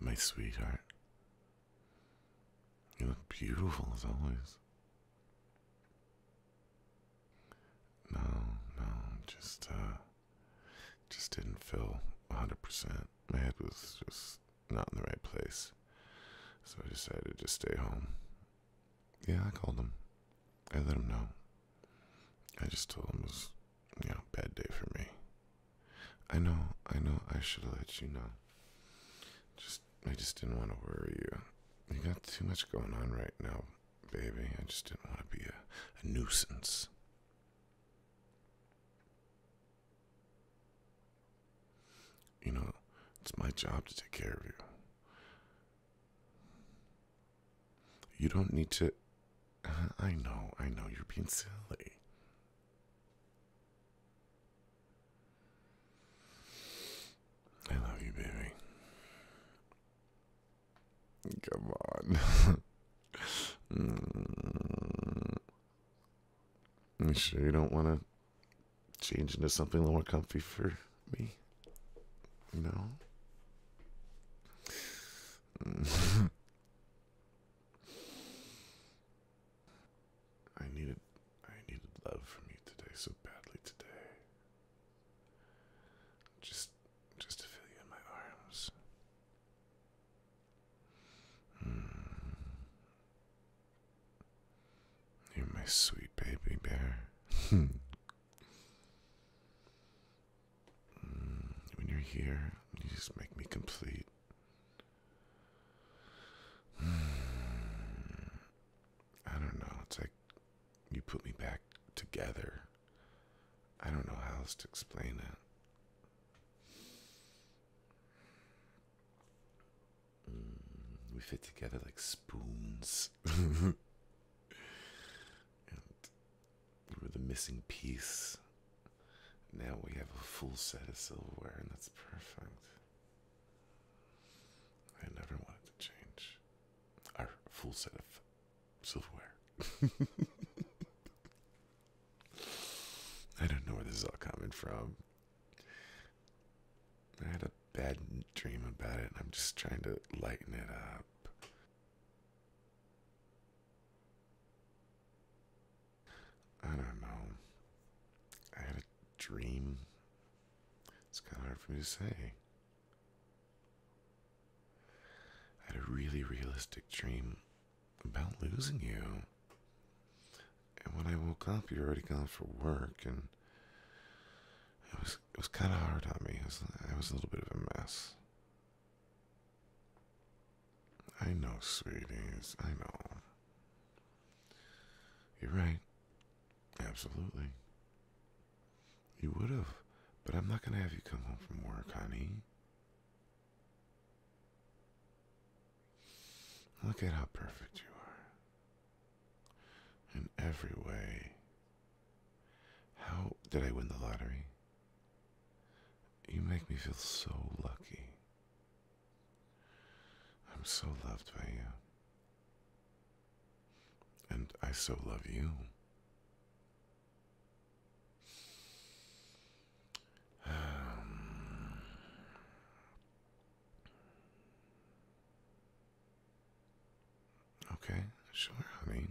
My sweetheart, you look beautiful as always. No, no, just, uh, just didn't feel 100%. My head was just not in the right place. So I decided to stay home. Yeah, I called him. I let him know. I just told him it was, you know, bad day for me. I know, I know, I should have let you know. Just, I just didn't want to worry you. You got too much going on right now, baby. I just didn't want to be a, nuisance. You know, it's my job to take care of you. You don't need to. Uh, I know, I know, you're being silly. I love you, baby. Come on. mm. You sure you don't want to change into something a little more comfy for me? No? I needed I needed love from you today so badly today. Just just to feel you in my arms. Mm. You're my sweet baby bear. Mm, when you're here, you just make me complete. Hmm, I don't know. It's like you put me back together. I don't know how else to explain it. Hmm, we fit together like spoons. we were the missing piece. Now we have a full set of silverware, and that's perfect. I never wanted to change our full set of silverware. I don't know where this is all coming from. I had a bad dream about it, and I'm just trying to lighten it up. I don't know. I had a dream. It's kind of hard for me to say. I had a really realistic dream about losing you. And when I woke up, you were already gone for work, and it was it was kind of hard on me. It was a little bit of a mess. I know, sweetie. I know. You're right. Absolutely. You would have, but I'm not going to have you come home from work, honey. Look at how perfect you are. In every way, how did I win the lottery? You make me feel so lucky. I'm so loved by you. And I so love you. Okay, sure, honey.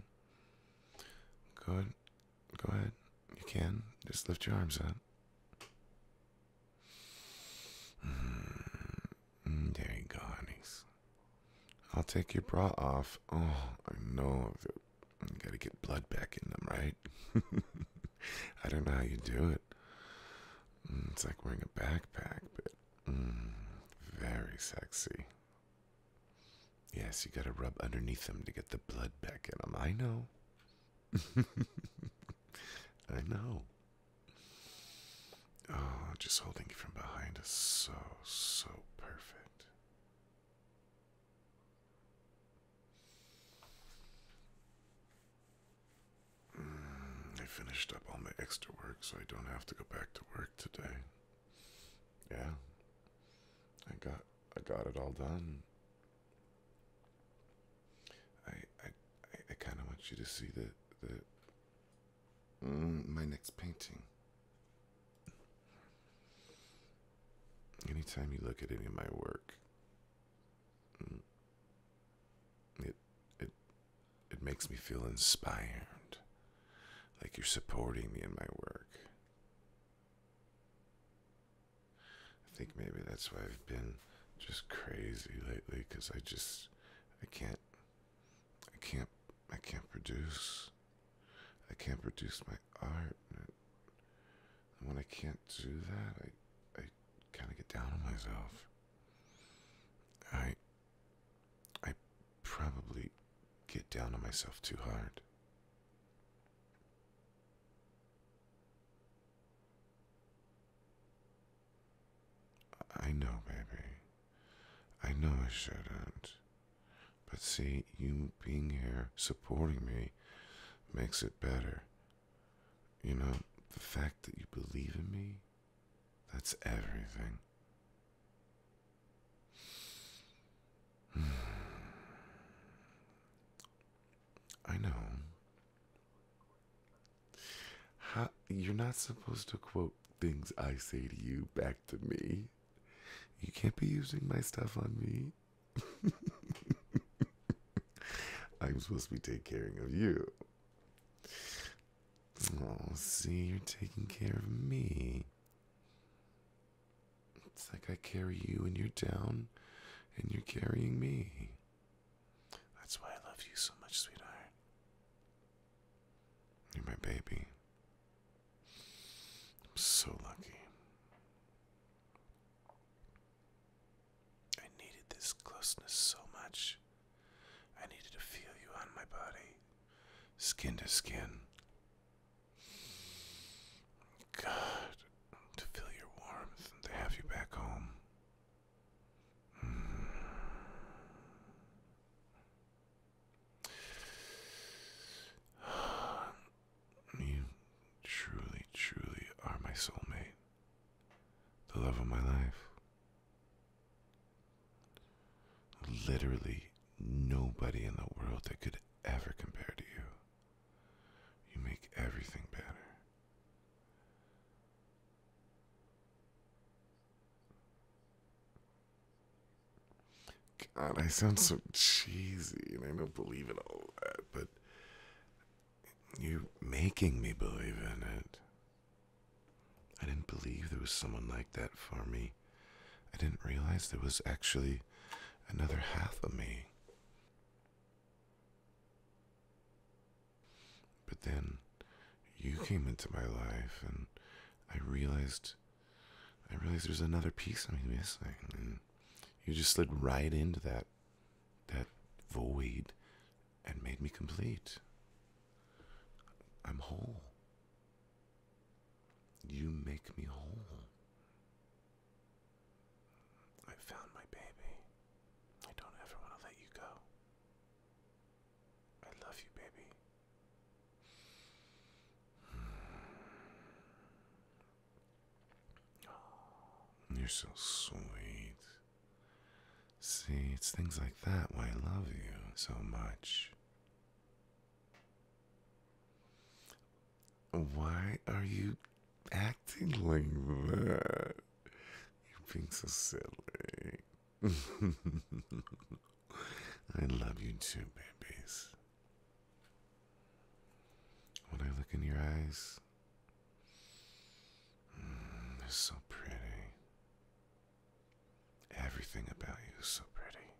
Go ahead. Go ahead. You can. Just lift your arms up. Mm, there I'll take your bra off. Oh, I know. You gotta get blood back in them, right? I don't know how you do it. Mm, it's like wearing a backpack, but mm, very sexy. Yes, you gotta rub underneath them to get the blood back in them. I know. I know. Oh, just holding you from behind is so, so perfect. Mm, I finished up all my extra work so I don't have to go back to work today yeah, I got I got it all done. I I I kind of want you to see the the mm, my next painting. Anytime you look at any of my work, mm, it it it makes me feel inspired. Like you're supporting me in my work. I think maybe that's why I've been just crazy lately because I just, I can't, I can't, I can't produce. I can't produce my art. And when I can't do that, I, I kind of get down on myself. I, I probably get down on myself too hard. I know, baby. I know I shouldn't. But see, you being here, supporting me, makes it better. You know, the fact that you believe in me, that's everything. I know. you're not supposed to quote things I say to you back to me. You can't be using my stuff on me. I'm supposed to be taking care of you. Oh, see, you're taking care of me. It's like I carry you and you're down and you're carrying me. That's why I love you so much, sweetheart. You're my baby. I'm so lucky. I needed this closeness so much. I needed to feel you on my body, skin to skin. God, to feel your warmth to have you back home. Mm. You truly, truly are my soulmate, the love of my life. Literally nobody in the world that could ever compare to you. You make everything better. God, I sound so cheesy and I don't believe in all that, but you're making me believe in it. I didn't believe there was someone like that for me I didn't realize there was actually another half of me. But then you came into my life and I realized I realized there's another piece of me missing and you just slid right into that that void and made me complete. I'm whole. You make me whole. I found my baby. I don't ever want to let you go. I love you, baby. you're so sweet. See, it's things like that why I love you so much. Why are you acting like that? You're being so silly. I love you too, babies. When I look in your eyes, mm, they're so pretty. Everything about you is so pretty.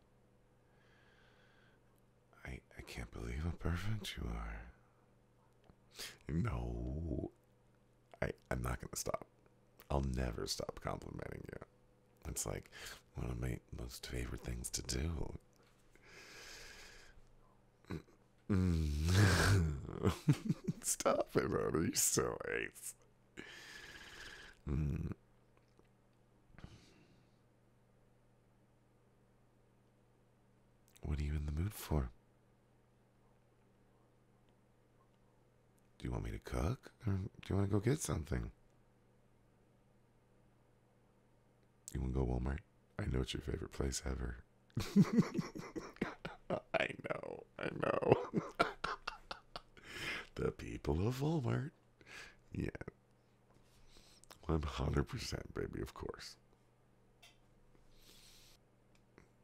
I I can't believe how perfect you are. No, I I'm not gonna stop. I'll never stop complimenting you. It's like one of my most favorite things to do. Stop it, honey. You're so ace. What are you in the mood for? Do you want me to cook? do you want to go get something? You want to go Walmart? I know it's your favorite place ever. I know, I know. the people of Walmart yeah. 100%, baby, of course.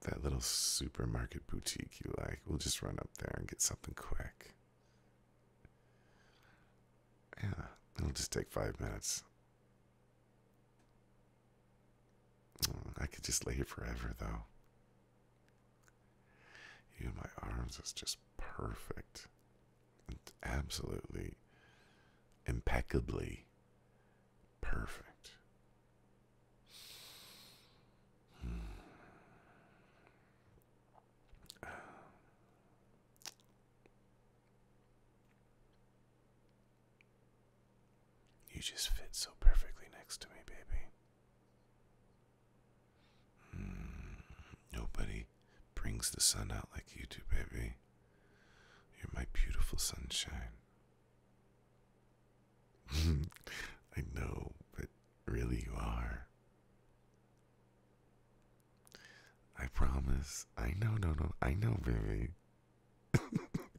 That little supermarket boutique you like. We'll just run up there and get something quick. Yeah, it'll just take five minutes. Mm, I could just lay here forever, though. You in my arms is just perfect. It's absolutely impeccably perfect. You just fit so perfectly next to me, baby. Hmm, nobody brings the sun out like you do, baby. You're my beautiful sunshine. I know, but really you are. I promise. I know, no, no. I know, baby.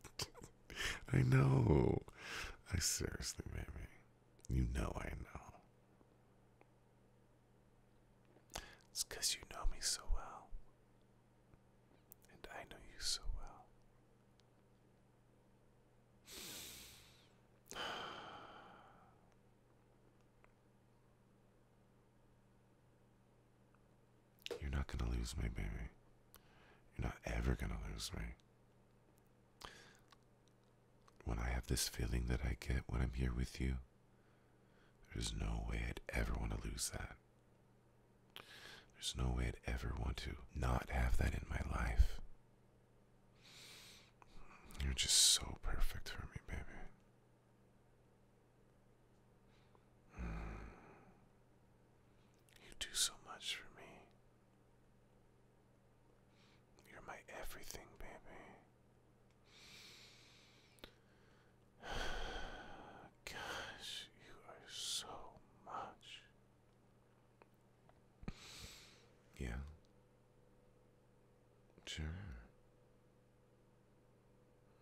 I know. I seriously, baby. You know I know. It's because you know me so well, and I know you so well. You're not gonna lose me, baby. You're not ever gonna lose me when I have this feeling that I get when I'm here with you, there's no way I'd ever want to lose that. There's no way I'd ever want to not have that in my life. You're just so perfect for me, baby. Mm. You do so much for me. You're my everything, baby. Gosh, you are so much. Yeah. Sure.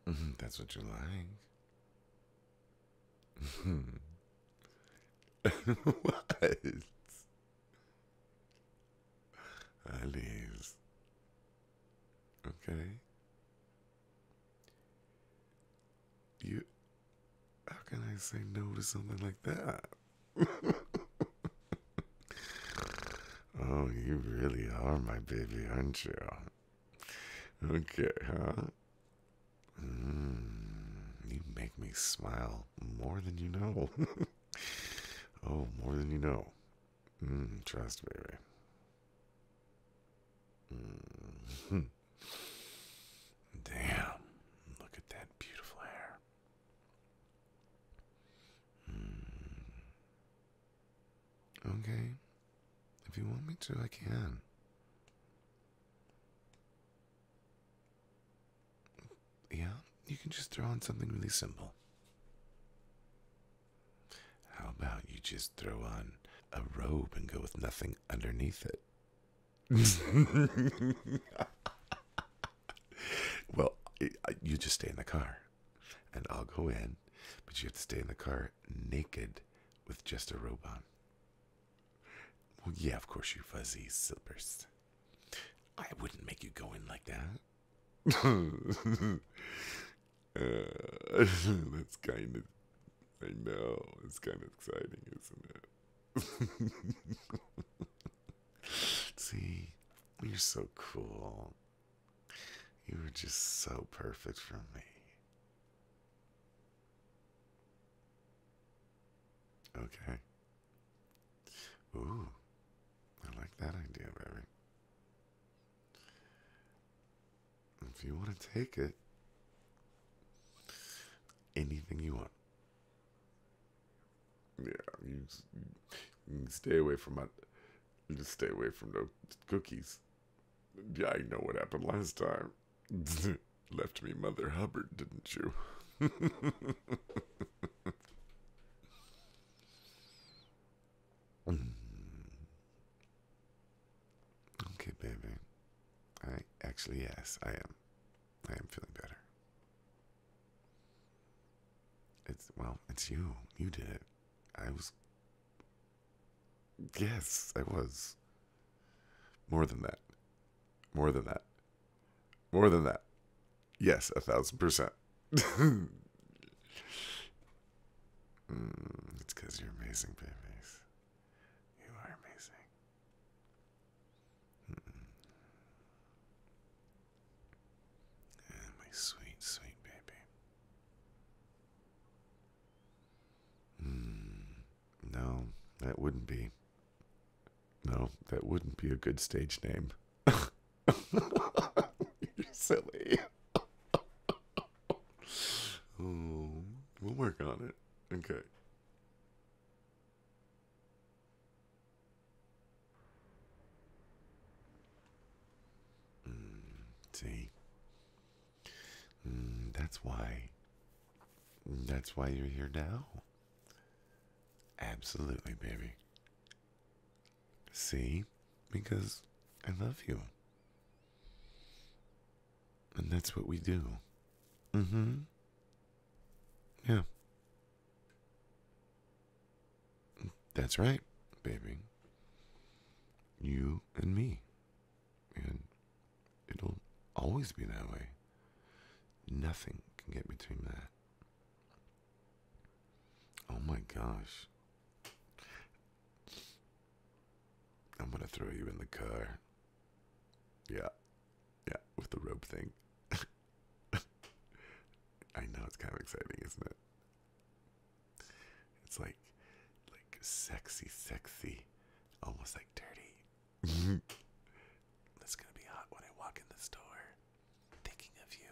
That's what you like. what? Alice. Okay. You how can I say no to something like that? oh, you really are my baby, aren't you? Okay, huh? Mm, you make me smile more than you know. oh, more than you know. Mm, trust, me. Mm-hmm. Damn. Look at that beautiful hair. Mm. Okay. If you want me to, I can. Yeah, you can just throw on something really simple. How about you just throw on a robe and go with nothing underneath it? well, uh, you just stay in the car and I'll go in, but you have to stay in the car naked with just a robe on. Well, yeah, of course, you fuzzy slippers. I wouldn't make you go in like that uh, that's kind of, I know, it's kind of exciting, isn't it? See, you're so cool. You were just so perfect for me. Okay. Ooh, I like that idea, baby. If you want to take it, anything you want. Yeah, you, you can stay away from my. Just stay away from the cookies. Yeah, I know what happened last time. Left me Mother Hubbard, didn't you? Mm. okay, baby. I actually, yes, I am. I am feeling better. It's, well, it's you. You did it. I was. Yes, I was. More than that. More than that. More than that. Yes, a thousand percent. Hmm, it's because you're amazing, babies. You are amazing. Hmm. my sweet, sweet baby. Hmm, no, that wouldn't be. No, that wouldn't be a good stage name. You're silly. we'll work on it. Okay. Hmm, see? Hmm, that's why. That's why you're here now. Absolutely, baby. See? Because I love you. And that's what we do. Mm hmm. Yeah. That's right, baby. You and me. And it'll always be that way. Nothing can get between that. Oh my gosh. I'm going to throw you in the car. Yeah. Yeah, with the rope thing. I know it's kind of exciting, isn't it? It's like like sexy, sexy, almost like dirty. That's going to be hot when I walk in the store thinking of you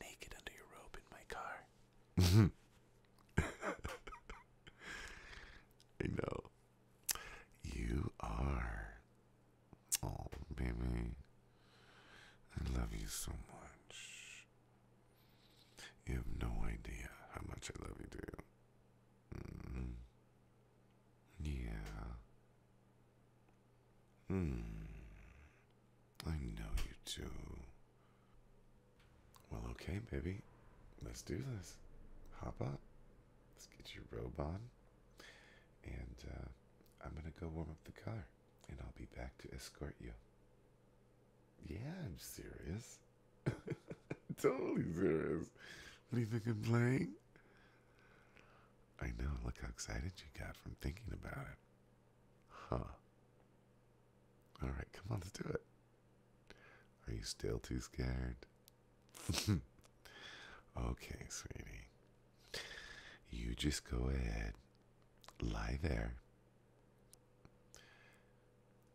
naked under your robe in my car. I know. You are. Oh, baby. I love you so much. You have no idea how much I love you, too. Mm -hmm. Yeah. Hmm. I know you do. Well, okay, baby. Let's do this. Hop up. Let's get your robe on. And uh, I'm going to go warm up the car. And I'll be back to escort you. Yeah, I'm serious. totally serious. What do you think I'm playing? I know, look how excited you got from thinking about it. Huh. Alright, come on, let's do it. Are you still too scared? okay, sweetie. You just go ahead, lie there.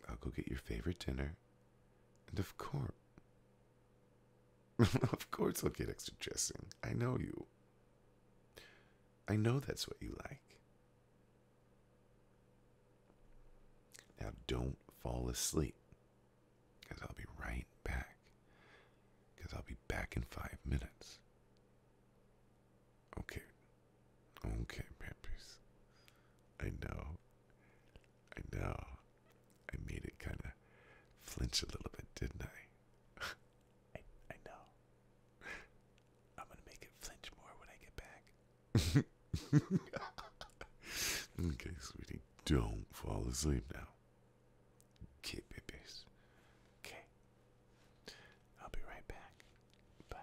I'll go get your favorite dinner. And of course, of course, I'll get extra dressing. I know you. I know that's what you like. Now, don't fall asleep, because I'll be right back. Because I'll be back in five minutes. Okay. Okay, pampies. I know. I know. I made it kind of flinch a little bit, didn't I? I know. I'm gonna make it flinch more when I get back. okay, sweetie, don't fall asleep now. Okay, babies. Okay. I'll be right back. Bye.